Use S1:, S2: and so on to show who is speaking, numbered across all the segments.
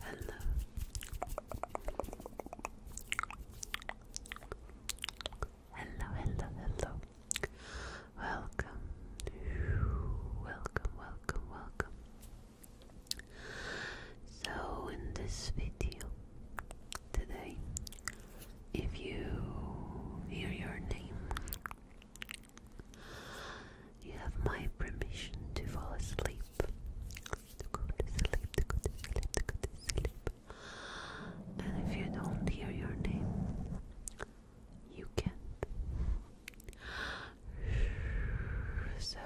S1: Hello. Hello, hello, hello. Welcome. Welcome, welcome, welcome. So, in this video today, if you hear your name you have my permission to fall asleep. To go to sleep, to go to sleep, to go to sleep. And if you don't hear your name, you can't. So,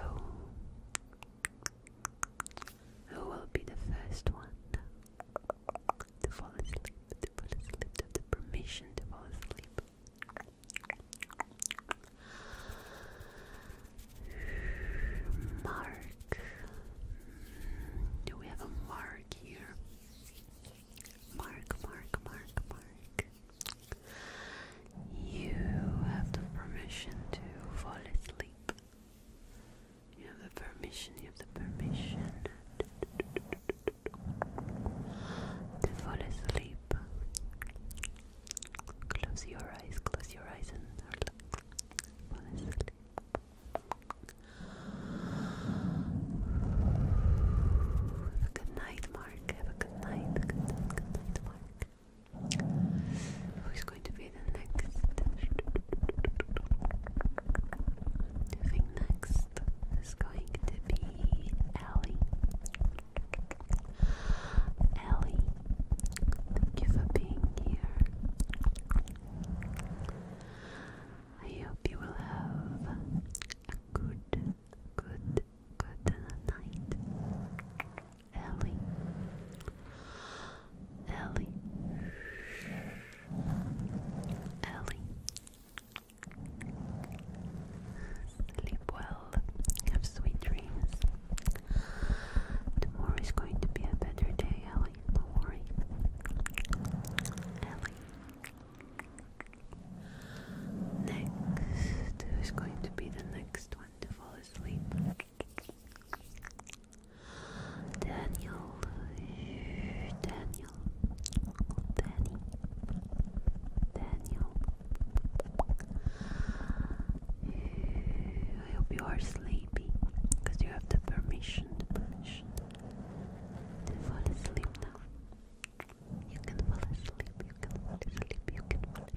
S1: who will be the first one to fall asleep? To fall asleep, to the permission to fall asleep. Mark. Do we have a mark here? Mark, mark, mark, mark. You have the permission to fall asleep. You have the permission, you have the permission to fall asleep. Close your eyes, close your eyes, and Fall asleep. Have a good night, Mark. Have a good night. Good night, Mark. Who's going to be the next? think next? is going to be Ellie. Ellie, thank you for being here. I hope you will have a good, good, good night. Ellie. Ellie. Ellie. Sleep well, have sweet dreams. Tomorrow is going to be a better day, Ellie. Don't worry. Ellie. Next is going to be the next one to fall asleep. Daniel, Daniel, Daniel, Danny, Daniel. I hope you are sleepy because you have the permission, to fall asleep now. You can fall asleep, you can fall asleep, you can fall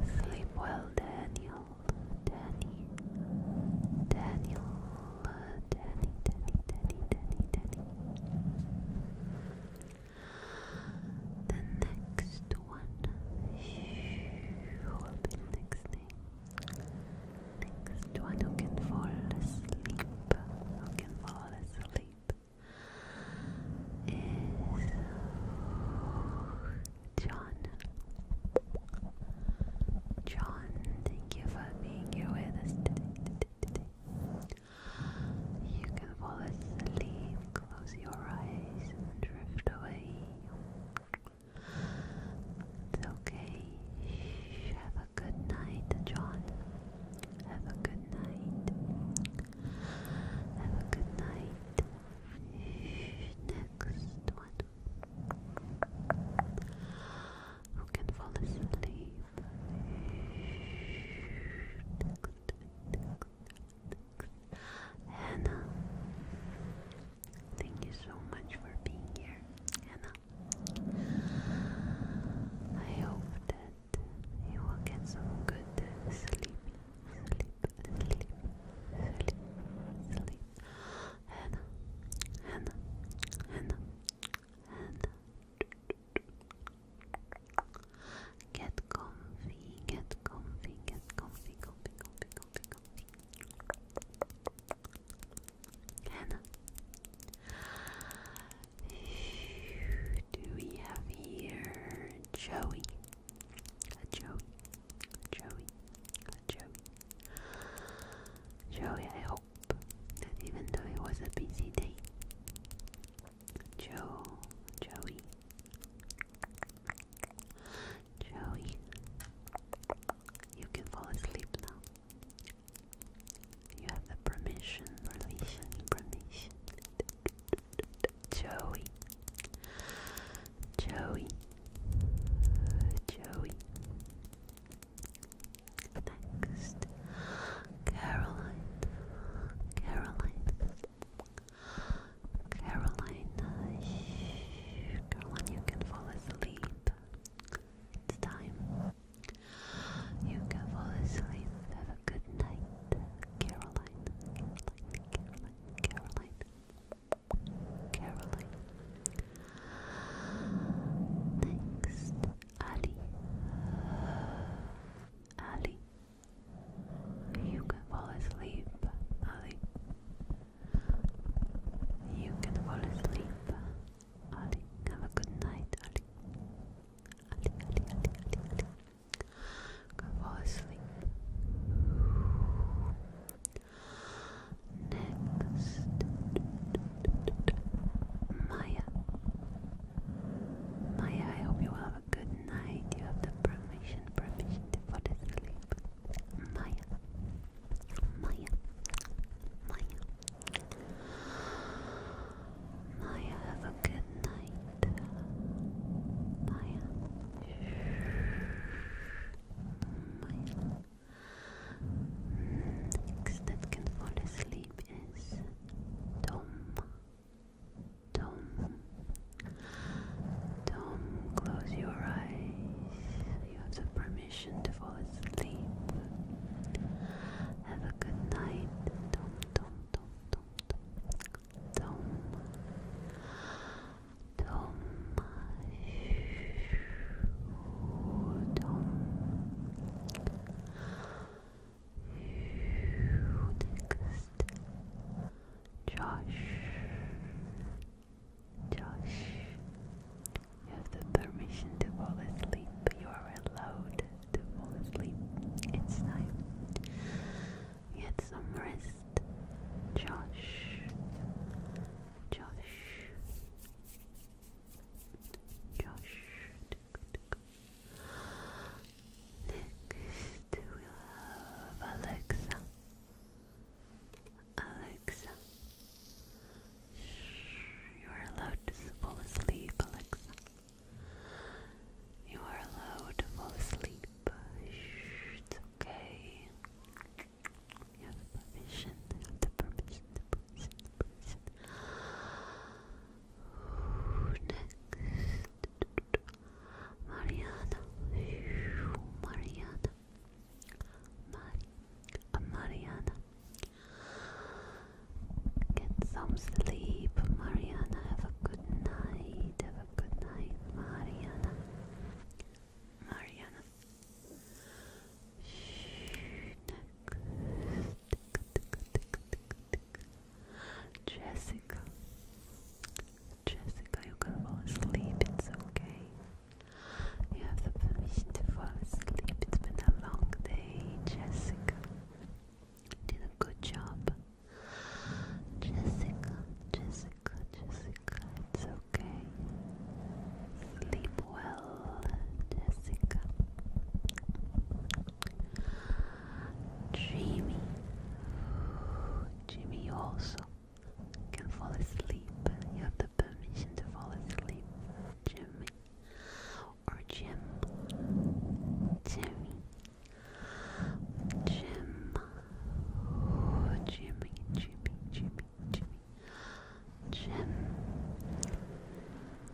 S1: asleep, sleep, well, Daniel, Danny, Daniel, Lola, Danny, Danny, Danny, Danny, Danny. The next one will be the next thing. Next one who can fall asleep. Who can fall asleep is John. John, thank you for being here with us today. You can fall asleep, close your eyes, and drift away. It's okay. have a good night, John. Have a good night. Have a good night. next one who can fall asleep. Hannah, thank you so much for being here, Hannah. I hope that you will get some good sleep, sleep, sleep, sleep, sleep. And Hannah, Hannah, Hannah. Get comfy, get comfy, get comfy, comfy, comfy, comfy, comfy. Hannah. Do we have here Joey? A Joey, Joey, a Joey. Joey, I hope that even though it was a busy day, Joe, Joey, Joey, you can fall asleep now. You have the permission, permission, permission. Joey, Joey, Joey, Next, Caroline, Caroline, Caroline, shh, Caroline, you can fall asleep. It's time. You can fall asleep. Have a good night, Caroline, Caroline, Caroline, Caroline, Caroline. Next, Ali. Ali. You can fall asleep, Ali. You can fall asleep, Ali. Have a good night, Ali. Ali, Ali, Ali, Ali, Ali. fall asleep. Next, Maya. Maya, I hope you have a good night. You have the permission, permission to fall Maya, Maya, Maya. Maya, have a good night. Maya. Next that can fall asleep is Tom. Tom. Tom, close your eyes. You have the permission to fall asleep. Have a good night, Tom, Tom, Tom, Tom, Tom, Tom. Next, Josh. Josh, you have the permission to fall asleep. You are allowed to fall asleep. It's time. Get some rest, Josh. Josh, Josh. Next we have Alexa. Alexa, you are allowed to fall asleep, Alexa. You are allowed to fall asleep. Shh, okay have permission, have the permission, the permission, the permission. Next, Mariana, Mariana, Mari, uh, Mariana. Get some sleep, Mariana. Have a good night. Have a good night, Mariana. Mariana, Jessica, Jessica, you can fall asleep. It's okay. You have the permission to fall asleep. It's been a long day, Jessica. Did a good job, Jessica. Jessica, Jessica. It's okay. Sleep well, Jessica. Jimmy. Jimmy, you also can fall asleep. You have the permission to fall asleep, Jimmy. Or Jim. Jimmy. Jim. Jimmy, Jimmy, Jimmy, gem.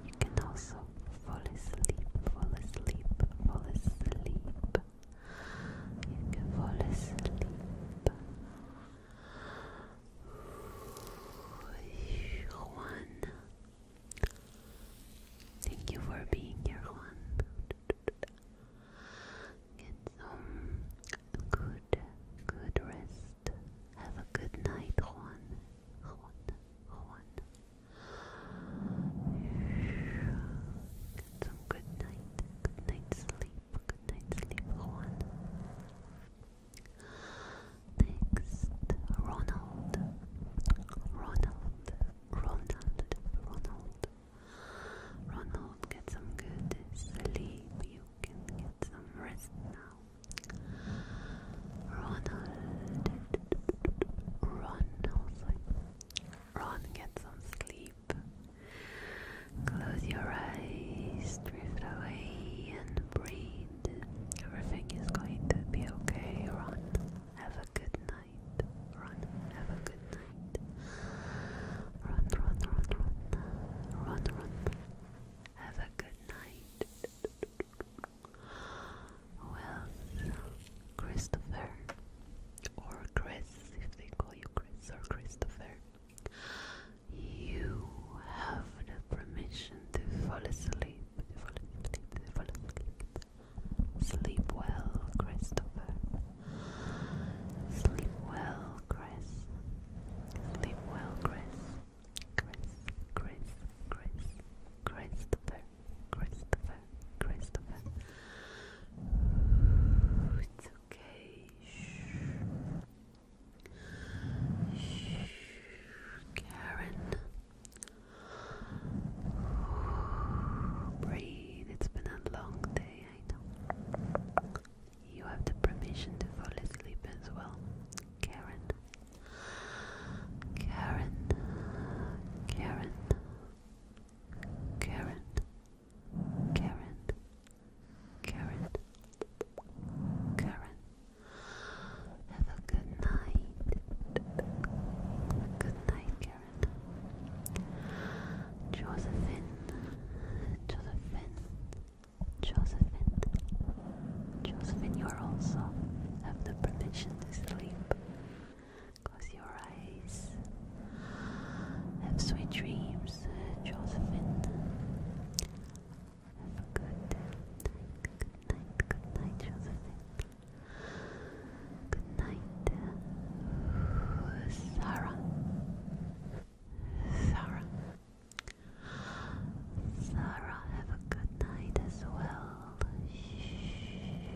S1: You can also fall asleep, fall asleep, fall asleep. You can fall asleep. Juan, thank you for being here, Juan. Get some Good, good rest. Have a good night, Juan. Juan, Juan. Get some good night, good night sleep, good night sleep, Juan. Next, Ronald. Ronald, Ronald, Ronald. Ronald, get some good sleep, you can get some rest now. Ronald, Ron, Ron, get some sleep. Close your eyes, drift away, and breathe. Everything is going to be okay, Ron. Have a good night, Ron. Have a good night run, run, run, run, run, run. Have a good night. Who Christopher or Chris, if they call you Chris or Christopher. You have the permission to fall asleep, fall asleep, fall asleep. Sleep well, Christopher. Sleep well, Chris. Sleep well, Chris. Chris, Chris, Chris, Christopher, Christopher, Christopher. it's okay. Shh. Shh. Karen. Breathe. It's been a long day, I know. You have the permission to fall asleep as well. Karen. Karen. Karen. Karen. Karen. Karen. Karen. Have a good night. Good night, Karen. Josephine, Josephine, Josephine, Josephine, you are also have the permission to sleep. Close your eyes. Have sweet dreams, Josephine. Have a good night. Good night, good night, Josephine. Good night, Sarah. Sarah. Sarah, have a good night as well. Goodness.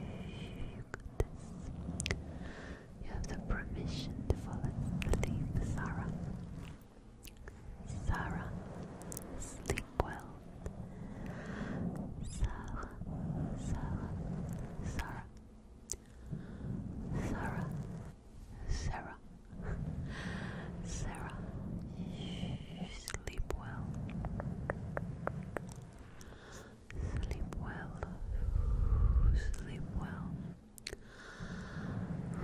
S1: You have the permission to fall asleep, Sarah. Sarah, sleep well. Sarah, Sarah, Sarah, Sarah, Sarah. Sarah, sleep well. Sleep well. Sleep well.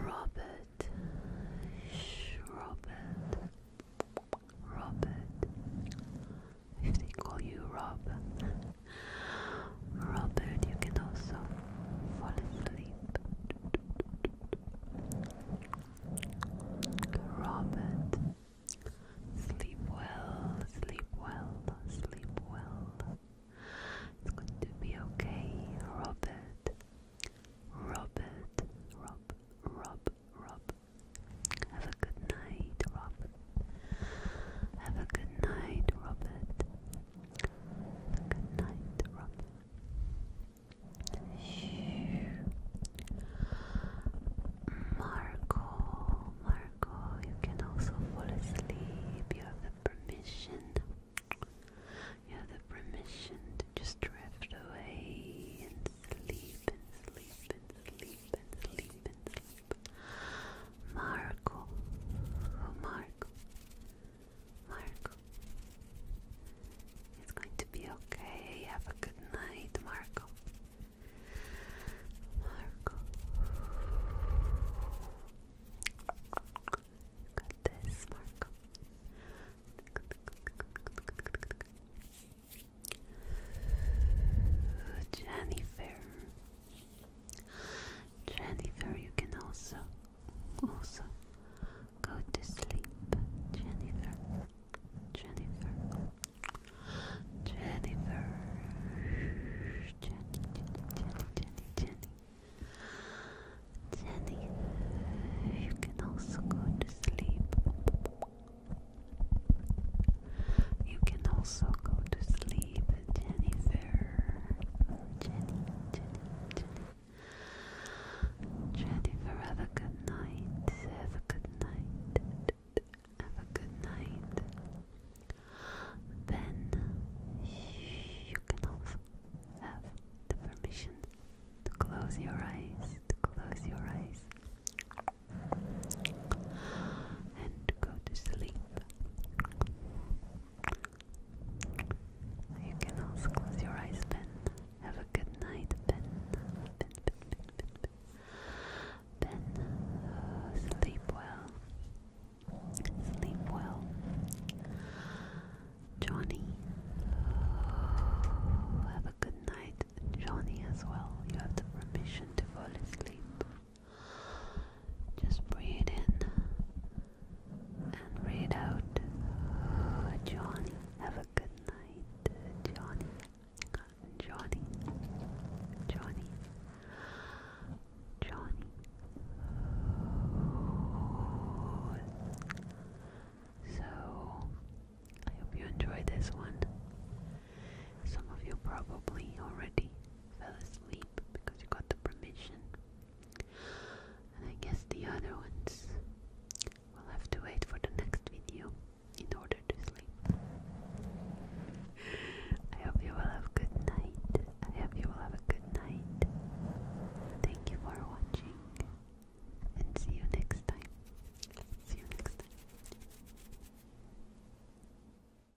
S1: Robert. Robert. Robert. If they call you Rob, Robert, you can also fall asleep. Robert, sleep well, sleep well, sleep well. It's going to be okay, Robert. Robert, Rob, Rob, Rob. Have a good night, Rob. Have a good night, Robert. Good night, Robin. Marco, Marco, you can also fall asleep. You have the permission. You have the permission to just drift away and sleep and sleep and sleep and sleep and sleep. Marco, oh, Marco, Marco. It's going to be okay. Have a good night, Marco. Marco. Got this, Marco. Jennifer. Jennifer, you can also also go to sleep. Jennifer, Jennifer, Jennifer, Jenny, Jenny, Jenny, Jenny, Jenny. You can also go to sleep. You can also go to sleep the Jennifer, Jennifer, have a good night. Have a good night. Have a good night. Then you can also have the permission to close your eyes, to close your eyes, and to go to sleep, you can also close your eyes, Ben. Have a good night, Ben. Ben, uh, sleep well. Sleep well. Johnny, uh, have a good night, Johnny, as well. You have the permission to fall asleep. Just breathe in and breathe out. Johnny, have a good night. Johnny, Johnny, Johnny, Johnny. So, I hope you enjoyed this one. Some of you probably already fell asleep because you got the permission. And I guess the other ones will have to wait for the next video in order to sleep. I hope you will have a good night. I hope you will have a good night. Thank you for watching. And see you next time. See you next time.